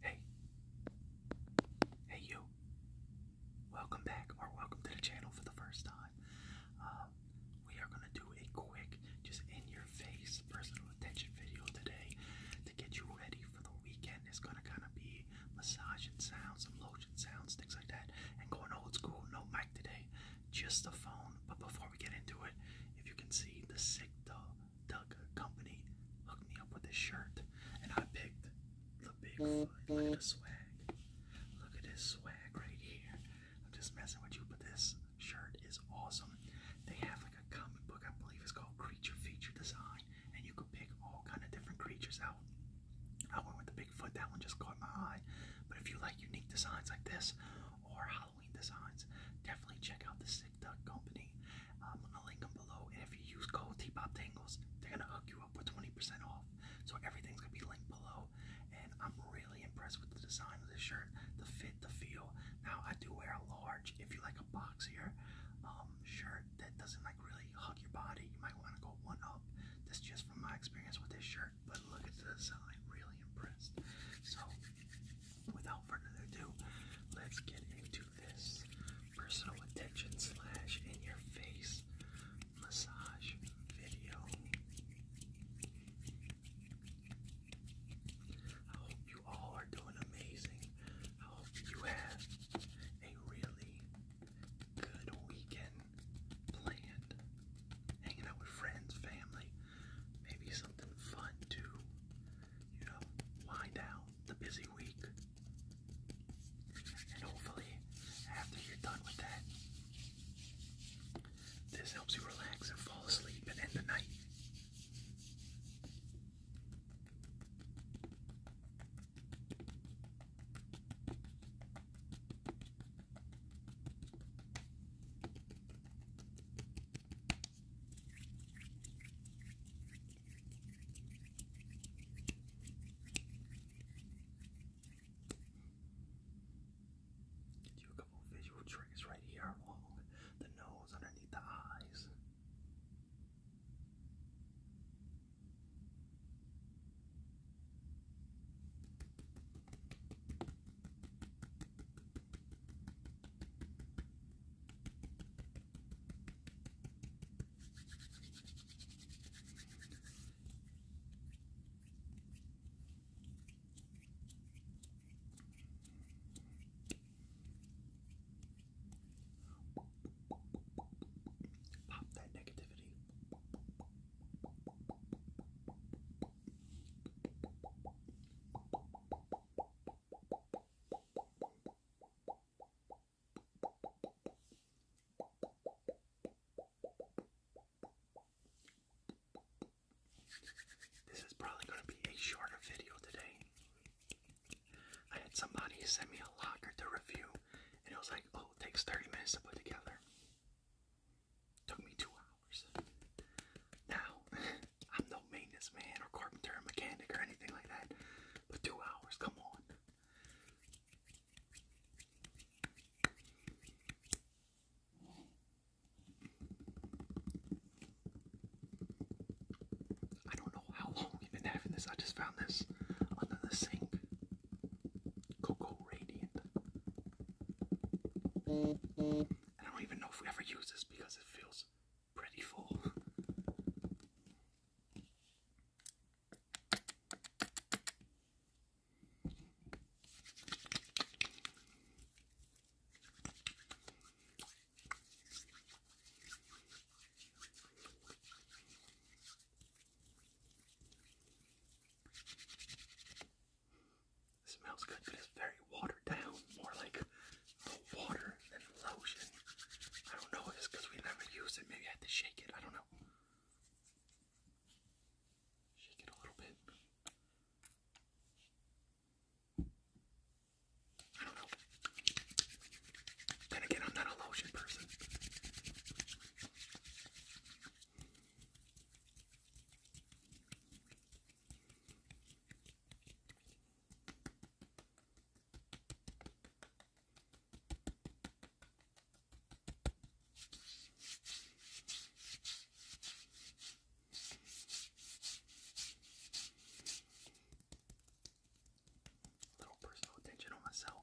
Hey. Hey, you. Welcome back, or welcome to the channel for the first time. Um, we are going to do a quick, just in your face personal attention video today to get you ready for the weekend. It's going to kind of be massage sounds, some lotion sounds, things like that, and going old school, no mic today, just the phone. But before we get into it, if you can see the sick dog Doug Company hooked me up with this shirt, and I picked the Bigfoot. Look at the swag. Look at this swag right here. I'm just messing with you, but this shirt is awesome. They have like a comic book, I believe it's called Creature Feature Design, and you could pick all kind of different creatures out. I went with the Bigfoot. That one just caught my eye. But if you like unique designs like this, or Halloween designs, definitely check out the Sick Duck Company. I'm um, gonna link them below, and if you use code T-Pop Tangles, they're gonna hook you up with 20% off. So everything's gonna be linked below, and I'm really impressed with the design of this shirt, the fit, the feel. Now I do wear a large. If you like a boxier um, shirt that doesn't like really hug your body, you might want to go one up. That's just from my experience with this shirt. But look at the design, really impressed. So without further ado, let's get into this personal attention slash in your face massage video. I hope you all are doing amazing. I hope you have a really good weekend planned. Hanging out with friends, family, Maybe something fun to, you know, wind down the busy week. And hopefully, after you're done with that, this helps you relax and fall asleep and end the night. Gives you a couple of visual tricks right here along the nose, underneath the eyes. Pop that negativity. This is probably going to be a shorter video today. I had somebody send me a locker to review, and it was like, oh, it takes 30 minutes to put together. Took me two hours. Now, I'm no maintenance man or carpenter mechanic or anything like that, but two hours, come on. I don't know how long we've been having this. I just found this under the sink. Cocoa Radiant. I don't even know if we ever use this because it feels pretty full. It smells good, but it's very watered down. More like the water than the lotion. I don't know it's because we never used it. Maybe I had to shake it. I don't know. Shake it a little bit. I don't know. Then again, I'm not a lotion person. Little personal attention on myself.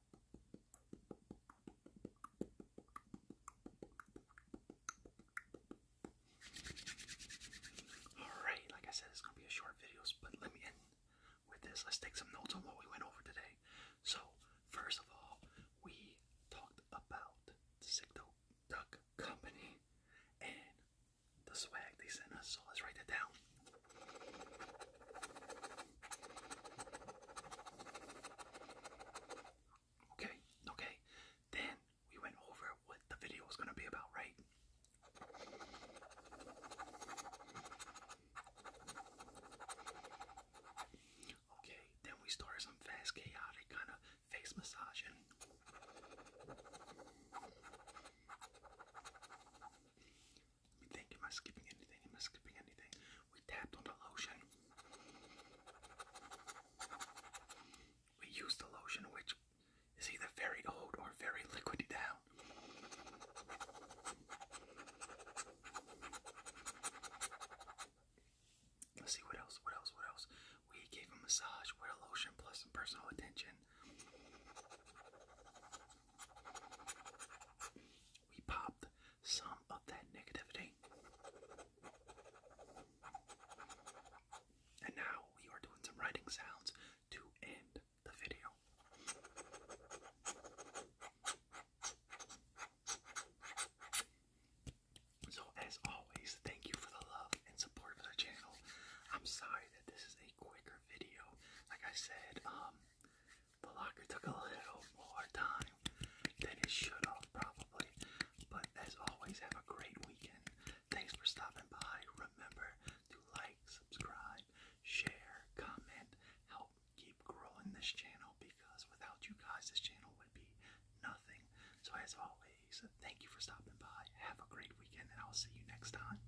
Alright, like I said, it's going to be a short video, but let me end with this. Let's take some notes on what we went over today. So, first of all, we talked about the Sick Duck Company and the swag they sent us. So, let's write that down. Okay, okay. Then we went over what the video was gonna be about, right? Okay, then we started some fast chaotic kind of face massaging. Let me think, am I skipping anything? Am I skipping anything? We tapped on the lotion. We used the lotion, which is either very old or very liquidy down. Let's see what else, what else, what else. We gave a massage with a lotion plus some personal attention. We popped some of that negativity. And now we are doing some writing sounds to end the video. So, as always, thank you for the love and support of the channel. I'm sorry that this is a quicker video. Like I said, um, the locker took a little more time than it should have, probably. But as always, have a great weekend. Thanks for stopping by. Remember to like, subscribe, share, comment, help keep growing this channel because without you guys, this channel would be nothing. So, as always, thank you for stopping by. Have a great weekend, and I'll see you next time.